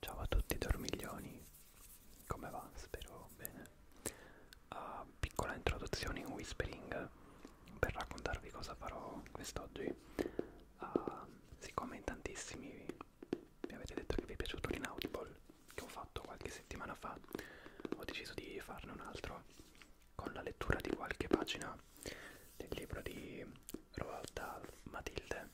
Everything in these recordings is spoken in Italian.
Ciao a tutti dormiglioni, come va? Spero bene. Uh, piccola introduzione in whispering per raccontarvi cosa farò quest'oggi. Uh, siccome in tantissimi mi avete detto che vi è piaciuto l'Inaudible che ho fatto qualche settimana fa, ho deciso di farne un altro con la lettura di qualche pagina del libro di Roald Dahl, Matilde,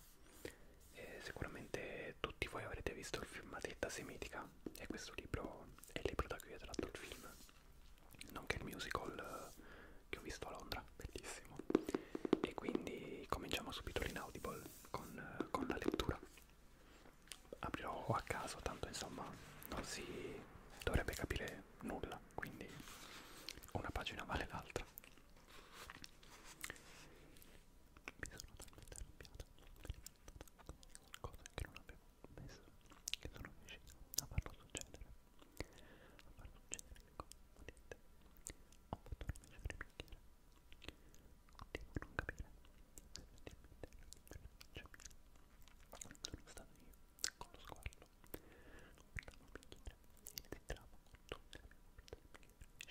e sicuramente tutti voi avrete visto il film Matilda Semitica e questo libro è il libro da cui è tratto il film, nonché il musical eh, che ho visto a Londra, bellissimo. E quindi cominciamo subito l'Inaudible con, eh, con la lettura. Aprirò a caso, tanto insomma non si dovrebbe capire nulla, quindi una pagina vale l'altra sono talmente arrabbiata qualcosa che non avevo messo che sono riuscita a farlo succedere a far succedere come potete ho fatto rimescere il bicchiere devo non capire se effettivamente la non sono stato io con lo squallo ho portato un bicchiere e ne tiravo con tutte le mie forze del bicchiere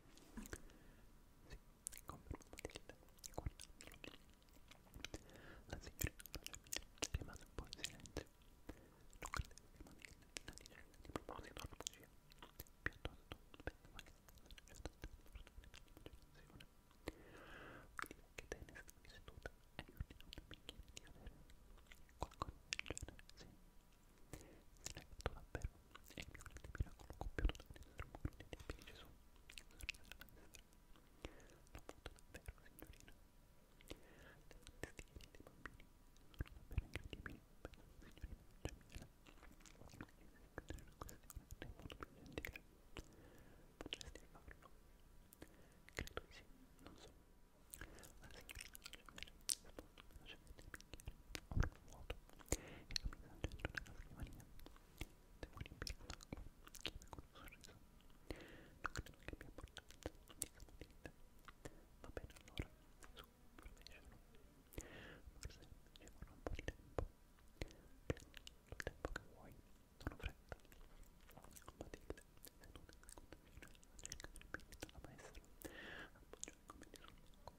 Sì, confermo il guardandolo. La signorina rimane un po' in silenzio. Non credevo che manegna la diceva di proposito alla bugia. Piuttosto, pensava che la società della protezione di Quindi che te ne stavi seduta e io non mi chiedi di avere qualcosa del genere, sì. Se l'hai fatto davvero, è il più grande miracolo compiuto dal nostro mondo di tempi di Gesù. L'ho fatto davvero, signorina. Le fantasie dei bambini sono davvero incredibili. Beh, signorina, c'è Michela. Esiste una questione nel modo più gentile. Potresti farlo? Credo di sì, non so. La signorina Gemella è stata una scelta avrò vuoto e capita al centro della scrivania. Devo riempirlo d'acqua, chiede con un sorriso. Non credo che abbia portato il tazzo di saponetta. Va bene allora, su, provecelo. Forse ci vorrà un po' di tempo. Prendi il tempo che vuoi, non ho fretta. Matilde, seduta in seconda fila, cerca di riempire la palestra, appoggiare come di sul banco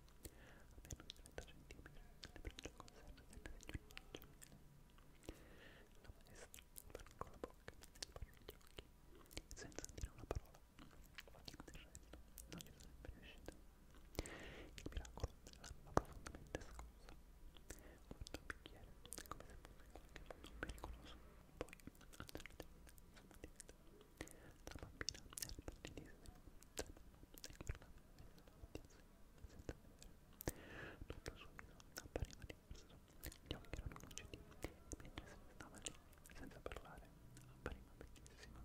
a meno di 30 cm le braccia conserte delle seggiole La maestra fermò con la bocca e sparò gli occhi, senza dire una parola. Del resto non gli sarebbe riuscito. Il miracolo l'aveva profondamente scossa. Guardò il bicchiere come se fosse qualche modo pericoloso, poi alzò le tende, la bambina era pallidissima, tremava e parlava davanti a sé, senza vedere. Tutto il suo viso appariva diverso, gli occhi erano lucidi e mentre se ne stava lì, senza parlare, appariva bellissima.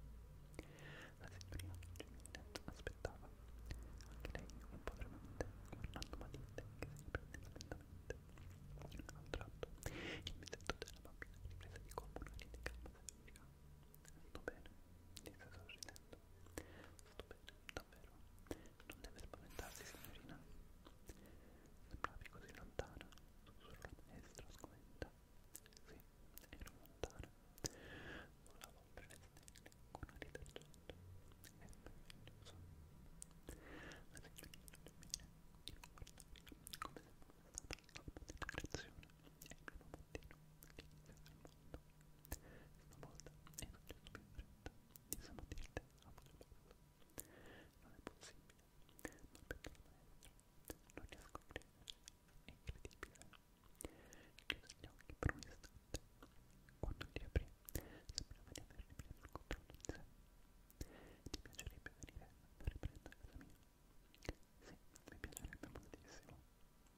La signorina Geminet aspettava, anche lei un po' tremante, guardando Matilde che si riprendeva lentamente. A un tratto, il mesetto della bambina riprese di colpo una ride calma e serena. Sto bene, disse sorridendo. Sto bene, davvero. Non deve spaventarsi, signorina. Sembravi così lontana, sussurrò la maestra sgomenta. Sì, ero lontana. Volavo oltre le stelle con aria d'argento. E meraviglioso. La signorina non mi viene di non guardare come se fosse stata la mia creazione. E il mio dei nomi che iniziano al mondo. Stavolta è successo più in fretta, di sabatirte a volo. Non è possibile, ma perché il maestro non riesco a credere, è incredibile. Chiuso gli occhi per un istante, quando li aprì sembrava di aver ripreso il controllo di sé. Ti piacerebbe venire a riprendere casa mia? Sì, mi piacerebbe moltissimo.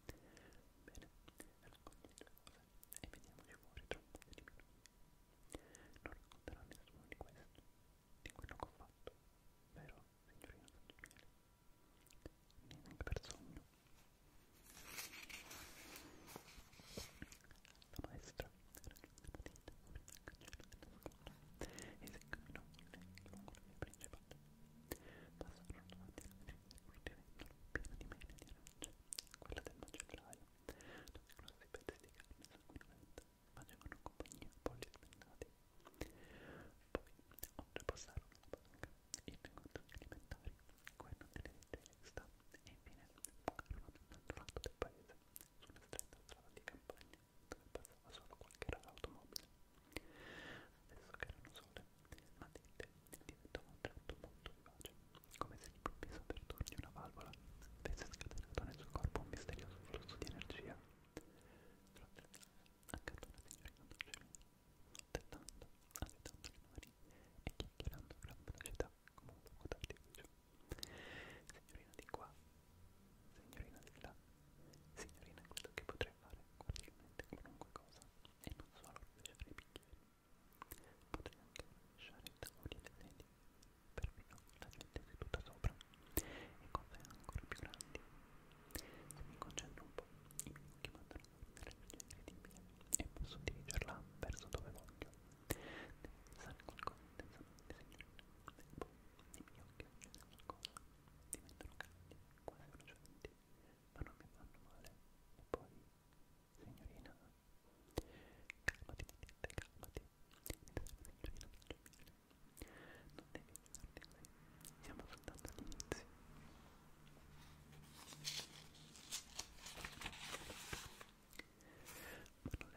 Bene, racconti le tue cose e vediamoci fuori tra un po' di minuti. Non racconterò a nessuno di questo, di quello che ho fatto, vero, signorina Sant'Umiele? Neanche per sogno. La maestra raggiunse la tinta con il cancello della scuola e si incamminò lungo la via principale. Passarono davanti alla vicina del piena di mele di arance, quella del macellaio, dove grossi pezzi di carne sanguinolenta facevano compagnia a polli spennati. Poi, oltrepassarono la banca, i negozi alimentari, quello delle leggerezze, e infine bucarono dall'altro lato del paese, su una stretta strada di campagna dove passava solo qualche rara automobile. Adesso che erano sole, Matilde diventò a un tratto molto vivace, come se all'improvviso per turni una valvola avesse scatenato nel suo corpo un misterioso flusso di energia. Accanto alla signorina Dolcemina, tentando, agitando le mani e chiacchierando a gran velocità come un fuoco d'artificio. Signorina di qua, signorina di là, Signorina, credo che potrei fare correttamente qualunque cosa e non solo rovesciare i bicchieri. Potrei anche rovesciare i tavoli e le sedie, perfino la gente seduta sopra e cose ancora più grandi. Se mi concentro un po', i miei occhi mandano una luce incredibile e posso dirigerla verso dove voglio. Devo pensare qualcosa intensamente, signorina, e boh, poi i miei occhi accendono qualcosa, diventano caldi quadrocenti, ma non mi fanno male. E poi, signorina, calmati, calmati, signorina, non devi pensarti così, siamo soltanto all'inizio. Ma non le sembra una cosa interessante, signorina?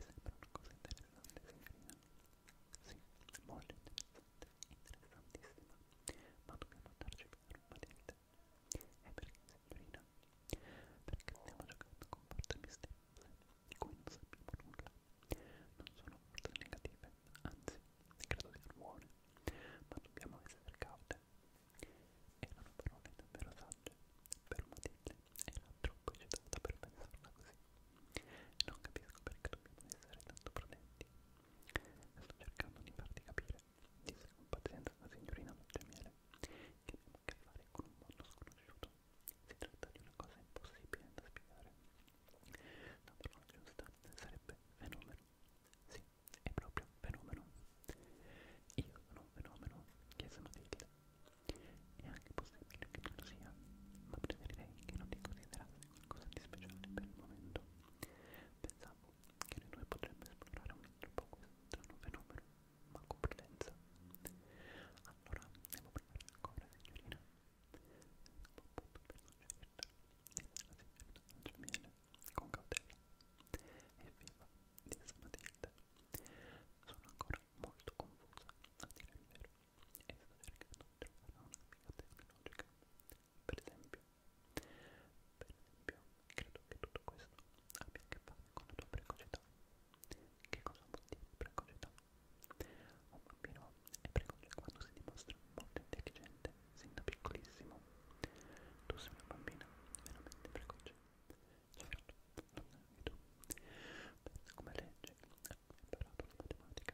Sì, molto interessante interessantissima, ma dobbiamo andarci per Matilde. E perché, signorina? Perché stiamo giocando con forze misteriose di cui non sappiamo nulla. Non sono forze negative, anzi, credo siano buone, ma dobbiamo essere caute. Erano parole davvero sagge, però Matilde era troppo eccitata per pensarla così. Non capisco perché dobbiamo essere tanto prudenti. Sto cercando di farti capire, disse con pazienza la signorina Montemiele, che abbiamo a che fare con un mondo sconosciuto. Si tratta di una cosa impossibile da spiegare. La parola giusta sarebbe fenomeno. Sì, è proprio fenomeno. Io sono un fenomeno, chiese Matilde. È anche possibile che tu lo sia, ma preferirei che non ti considerassi qualcosa di speciale per il momento. Pensavo che noi due potremmo esplorare un altro po' questo strano fenomeno, ma con prudenza. Allora, devo provare ancora, signorina. Stavo appunto per suggerirla, disse la signorina Angemiele, con cautela. Evviva, disse Matilde. Sono ancora molto confusa, a dire il vero e sto cercando di trovare una spiegazione logica. Per esempio, per esempio, credo che tutto questo abbia a che fare con la tua precocità. Che cosa vuol dire precocità? Un bambino è precoce quando si dimostra molto intelligente sin da piccolissimo. Tu sei una bambina veramente precoce. Certo, non è tu. Pensa come legge, hai imparato la matematica,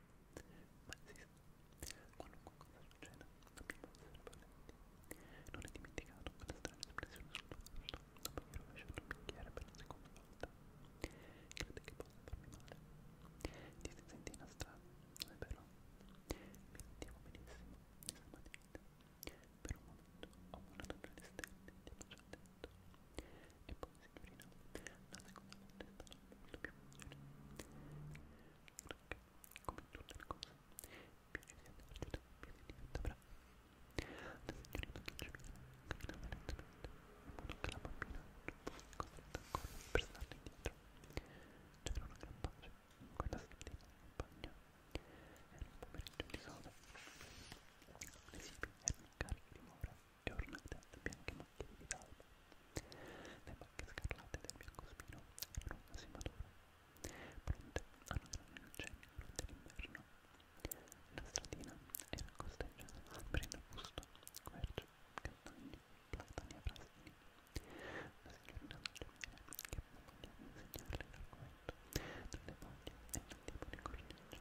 Ma esiste. Qualunque cosa succeda, dobbiamo essere presenti. Non è dimenticato quella strana espressione sul volto dopo aver rovesciato il bicchiere per la seconda volta. Crede che possa farmi male. Ti si sente in strada, non è vero? Mi sentivo benissimo, estremamente. Per un momento ho guardato le stelle, ti ho già detto. E poi signorina, la seconda volta è stata molto più facile. Perché, come tutte le cose, più ci si accorge, più si diventa brava. La signorina Dolcemina camminava lentamente, in modo che la bambina non fosse costretta ancora per starle indietro. C'era una gran pace in quella stradina campagna. Era un pomeriggio di sole. Le sipi erano cariche di mora e ornate da bianche macchie di d'alba. Le macchie scarlate del biancospino erano quasi mature, pronte a nutrire il cenno dell'inverno. La stradina era costeggiata da alberi in arbusto, querce, castagni, platani e frastini. La signorina del giovane, che aveva voglia di insegnarle l'argomento, delle foglie e il tipo di cornice,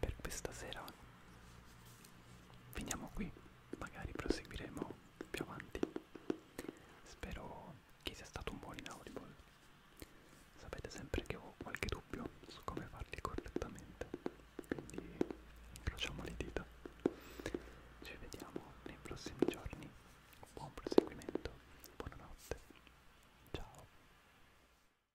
per questa sera finiamo qui magari proseguiremo più avanti spero che sia stato un buon inaudible sapete sempre che ho qualche dubbio su come farli correttamente quindi incrociamo le dita ci vediamo nei prossimi giorni buon proseguimento buonanotte ciao